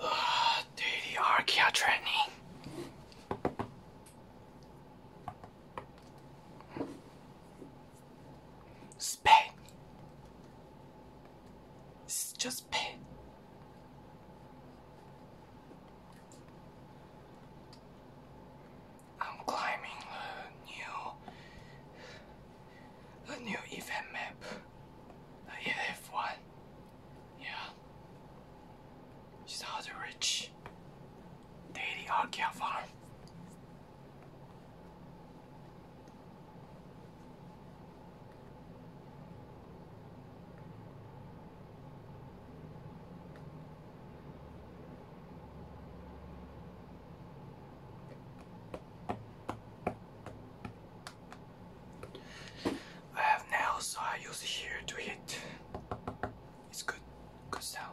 Uh, daily archaea training. This is just pain. I'm climbing a new a new event map. Not yet have one. Yeah. She's rich. to I can't Farm. I have nails, so I use here to hit. It's good, good sound.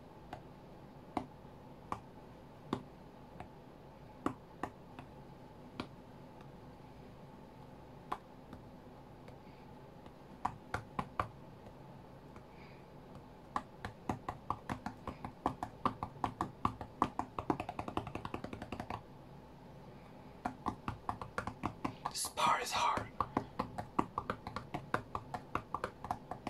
This part is hard.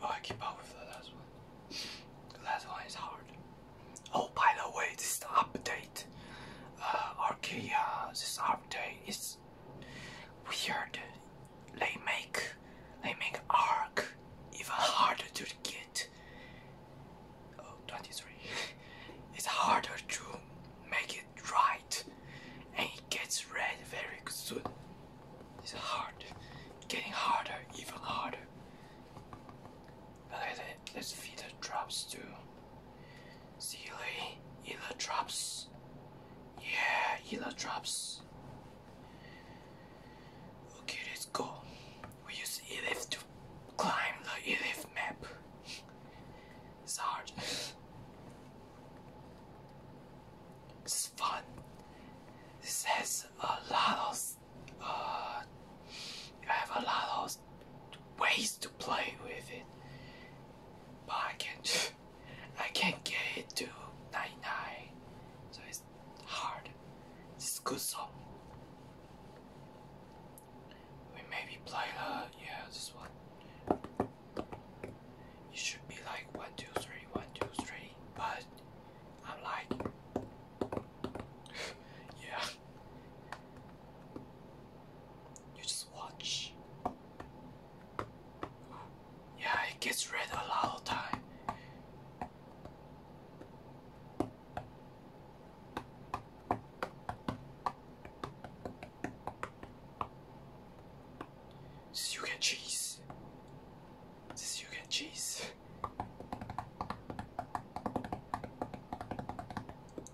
Oh, I keep up with the last one. The last one is hard. Oh, by the way, this is the update that uh, Arcadia, this update is weird. They make they make Arc even harder to get. Oh, it's harder to make it right, and it gets red very soon. It's hard, getting harder, even harder. Okay, then let's feed the drops to Sealy. Healer drops. Yeah, healer drops. Okay, let's go. We use Elif to climb the Elif map. it's hard. this is fun. This has a lot of. Uh, I have a lot of ways to play with it, but I can't. I can't get it to nine nine, so it's hard. It's a good song. We maybe play the yeah this one. It should be like one two three one two three, but I'm like yeah you just watch. Yeah, it gets red a lot of time. This you get cheese. This you get cheese.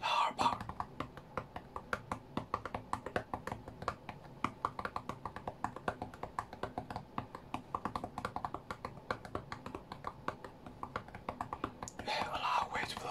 Harper. They have a lot of ways to play.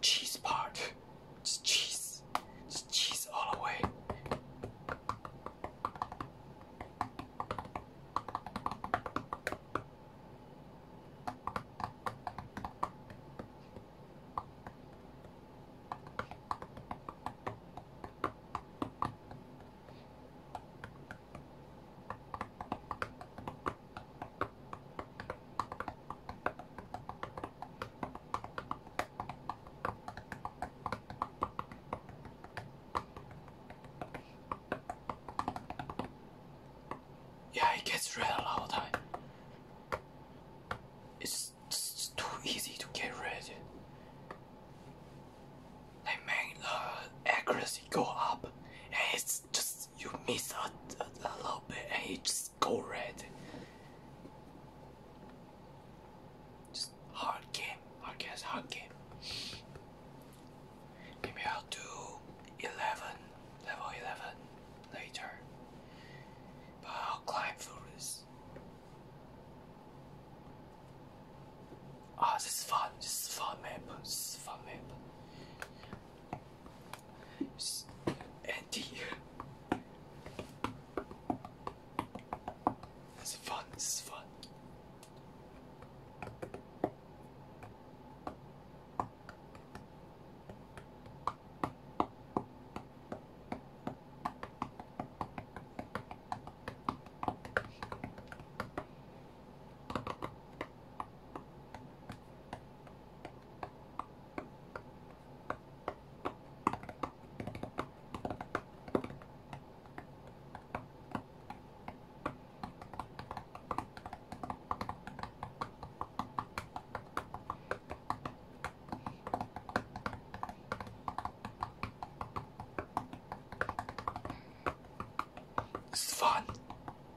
cheese part. Just cheese. Just cheese all the way. Yeah, it gets red a lot of time. It's, too easy to get red. They make the accuracy go up, and it's just you miss a, a, little bit, and it's go red. Just hard game, hard guess, hard game. Maybe I'll do 11, level 11 later. But I'll climb through this. Ah, this fun, this fun map, this fun map. Andy. That's fun, this is fun. It's fun.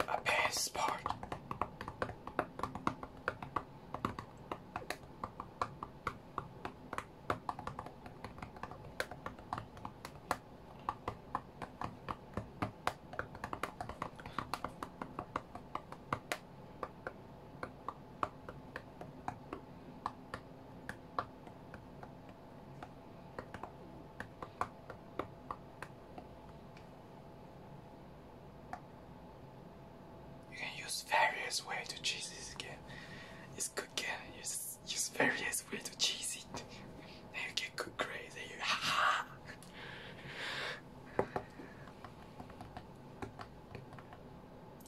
A passport. You can use various ways to cheese this game. It's good game. You use various ways to cheese it. you get good grades. Then you ha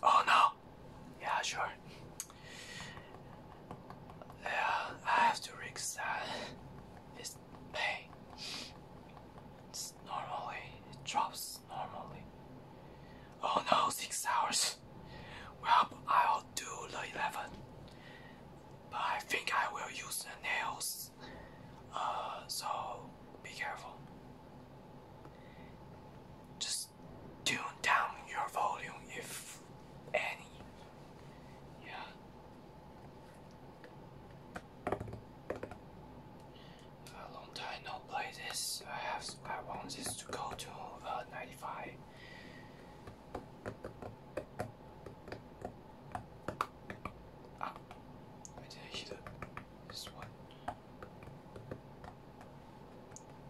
Oh no! Yeah, sure. Yeah, I have to risk that. This pain. normally, it drops normally. Oh no, six hours. Well, I'll do the 11. But I think I will use the nails. Uh, so be careful. Just tune down your volume if any. Yeah. A long time no play this. I have I want this to go to uh, 95. Ah, I hit this one.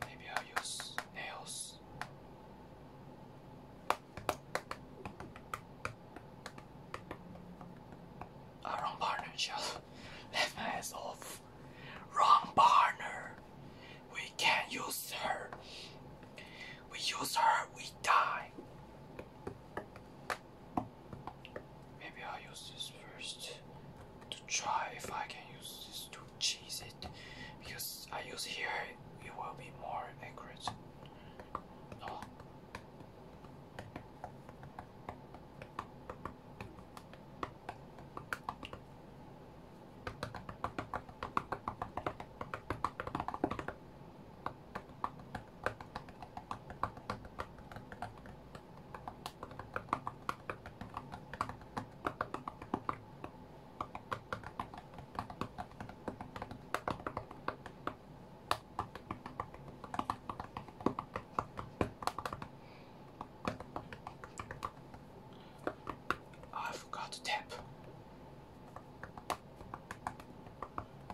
Maybe i use nails. wrong partner, just left my ass off. Wrong partner. We can't use her. We use her, we die. Maybe I'll use this first to try if I can use this to cheese it because I use here it will be more accurate. No. I forgot to tap.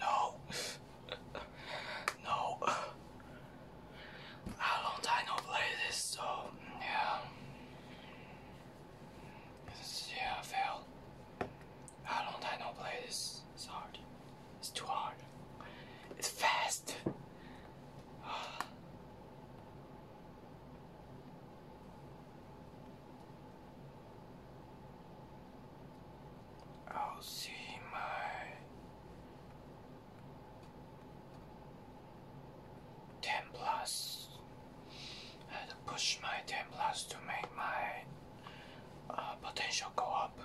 No. no. How long time no play this, so yeah. Yeah, I How long time no play this? It's hard. It's too hard. It's fast. I'll see my ten plus. I had to push my ten plus to make my uh, potential go up.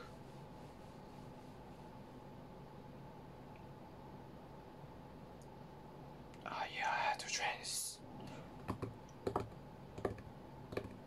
Ah yeah, I had to train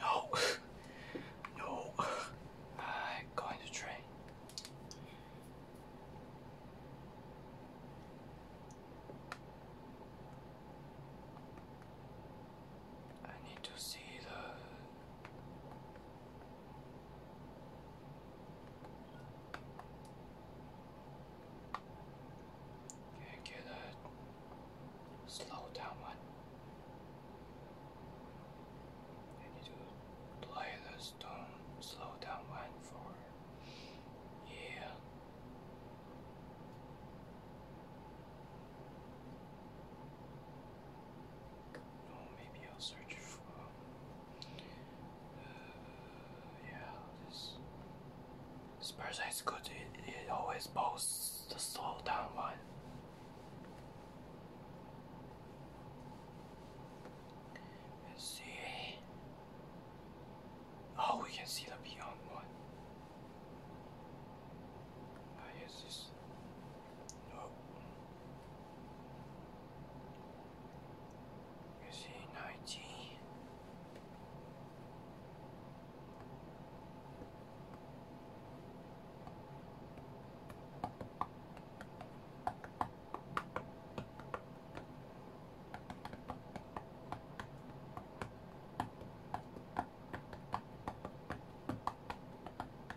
No, no, I'm going to train. I need to see the can get a slow down one. I need to play the stone slow down one for yeah. Oh, maybe I'll search for. Uh, yeah, this. This person is good. It, it always posts the slow down one. Let's see. Oh, we can see the beyond one. I guess this. You see 19.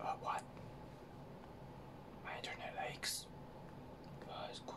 Uh, what? My internet aches. Uh, it's cool.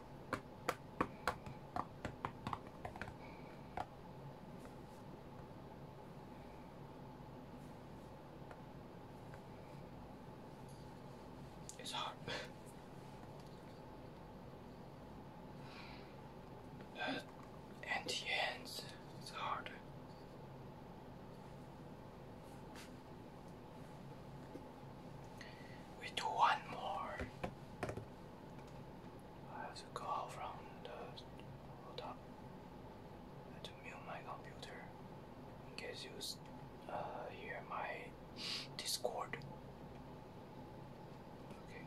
It's hot. uh, and it's hard. We do one more. I have to go from the hold to mute my computer in case you uh, hear my Discord. Okay.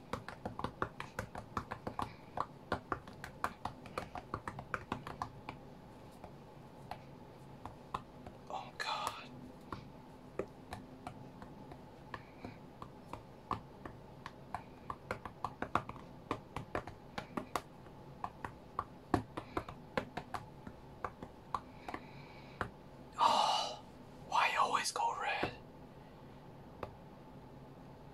Oh, God. Oh, why always go red?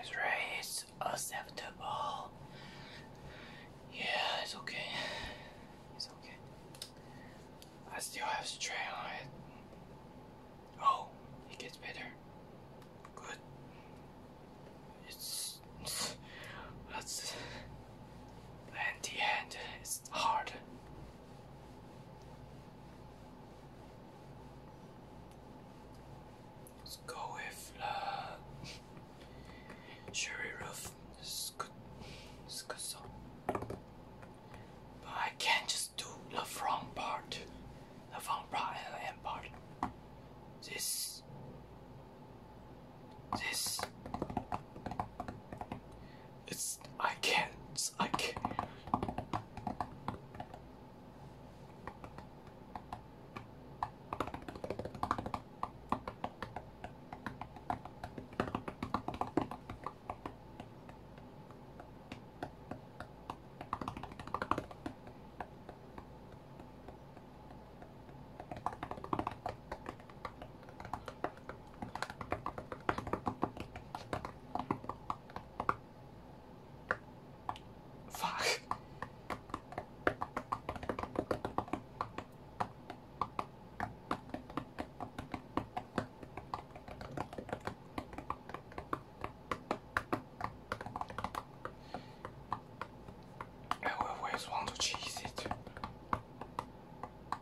It's right, it's acceptable. Yeah, it's okay. It's okay. I still have strain. on it. Oh, it gets better. Good. It's. that's. And the end, it's hard. Let's go with uh, Sherry Roof. This is good. This is good song. But I can't just do the front part, the front part and the end part. This, this, it's I can't. I can't. Fuck. I always want to cheese it.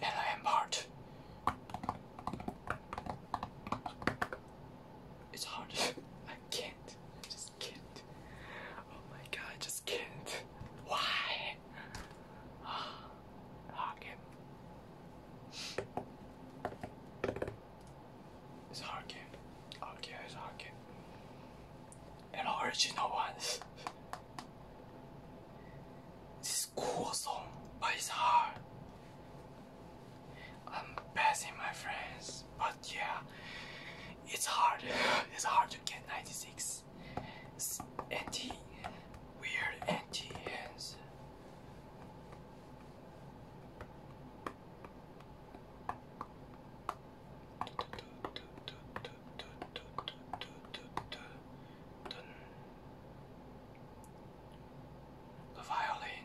Hello, Embart. It's hard. I can't. I just can't. Oh my god, just can't. Why? Hug it's hard game. Hard game it's hard game. And original ones. This cool song, but it's hard. I'm passing my friends, but yeah, it's hard. It's hard to get 96. It's anti weird anti hands. The violin.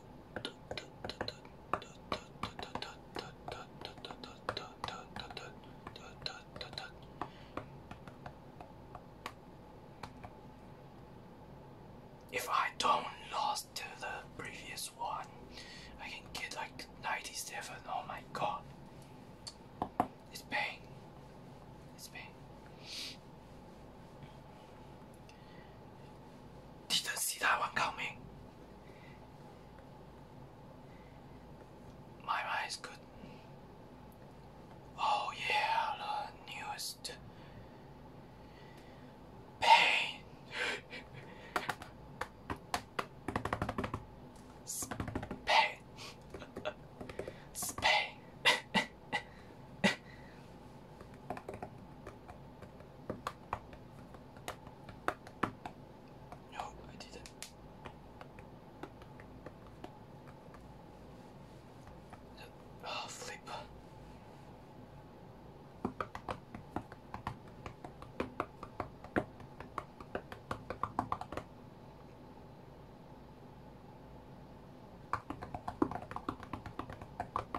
If I don't lost to the previous one, I can get like 97. Oh my god. It's pain. It's pain. Didn't see that one coming. My eyes is good. Oh yeah, newest pain. Spain. Spain. No, I didn't. Ah, flip.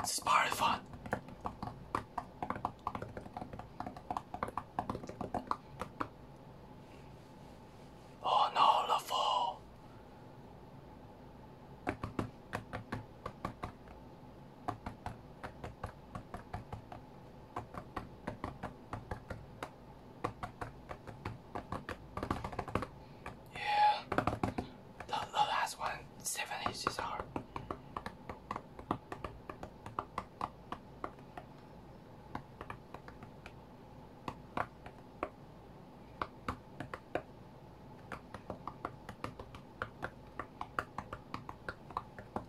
This is part of fun. Oh, yeah, the, last one, seven inches hard.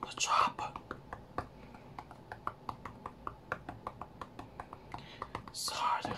The chopper. It's harder.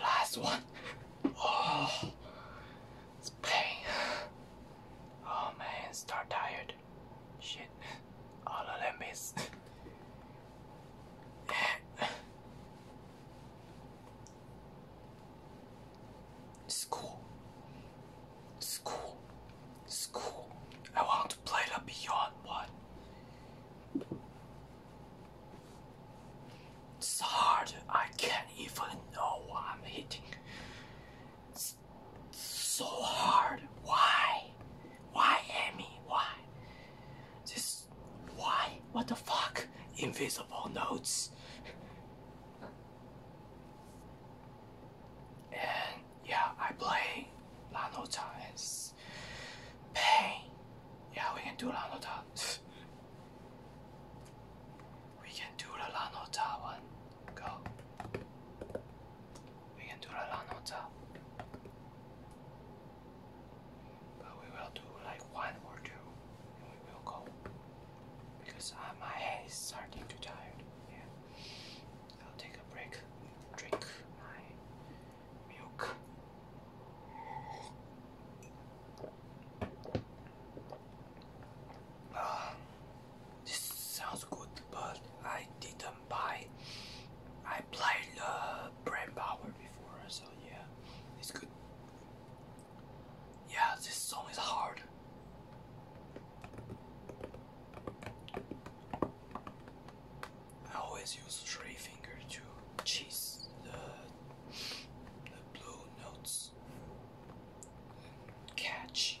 Last one. Oh, it's pain. Oh man, start tired. Shit, all of them is. School. School. School. I want to play the Beyond one. It's hard. I can't even know what I'm hitting. so hard. Why? Why, Amy? Why? Just why? What the fuck? Invisible notes. and yeah, I play Lanota and Pain. Yeah, we can do Lanota. we can do the Lanota one. Go. We can do a lot on top. But we will do like one or two and we will go. Because uh, my head is starting to tired. Yeah. I'll take a break. Drink my milk. Um, this sounds good, but I didn't come I played the uh, Brain Power before, so yeah, it's good. Yeah, this song is hard. I always use three finger to cheese the blue notes. Catch.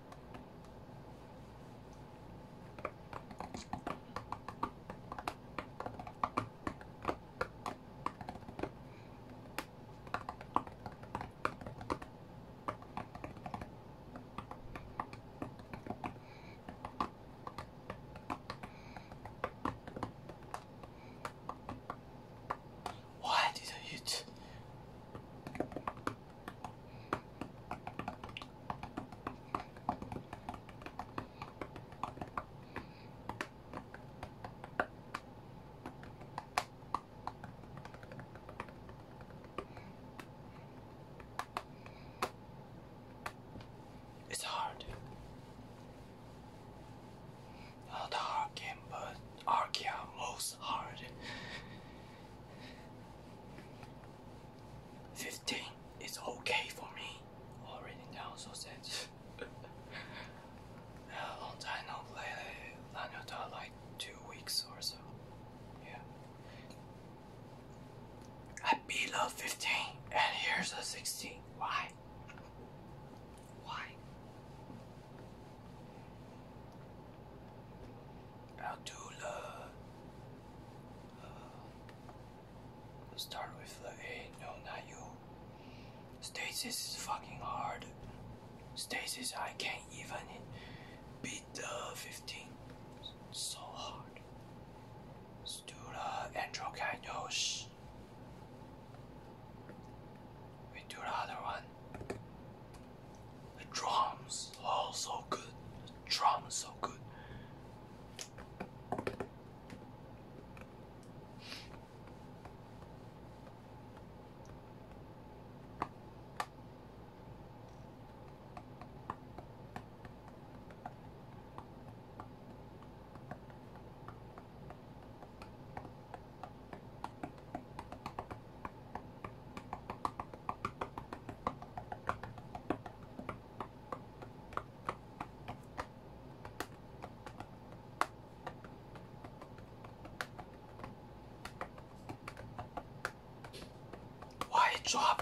Why did you it's hard. Not a hard game, but Archaea most hard. 15 is okay for me. Already down so sense. yeah, long time no play Lanyota like two weeks or so. Yeah. I beat love 15 and here's a 16. Why? Why? Abdullah. Uh, let's start with the A. No, not you. Stasis is fucking hard. Stasis, I can't even beat the 15. So hard. Let's do the Stula candles. We do the other one. The drums, oh so good. The drums, is so good. Why drop?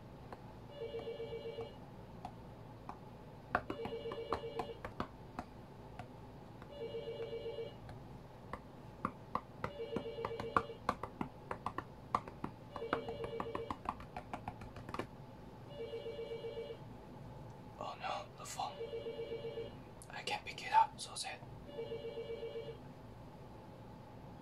Oh no, the phone. I can't pick it up, so sad.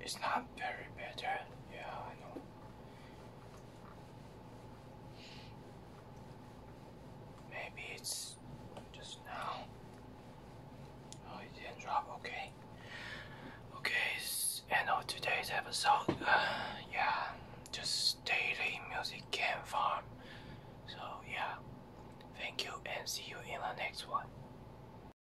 It's not very better. Yeah, I know. Maybe it's just now. Oh, it didn't drop. Okay. Okay, end of today's episode. Uh, yeah, just daily music game farm. So yeah, thank you and see you in the next one.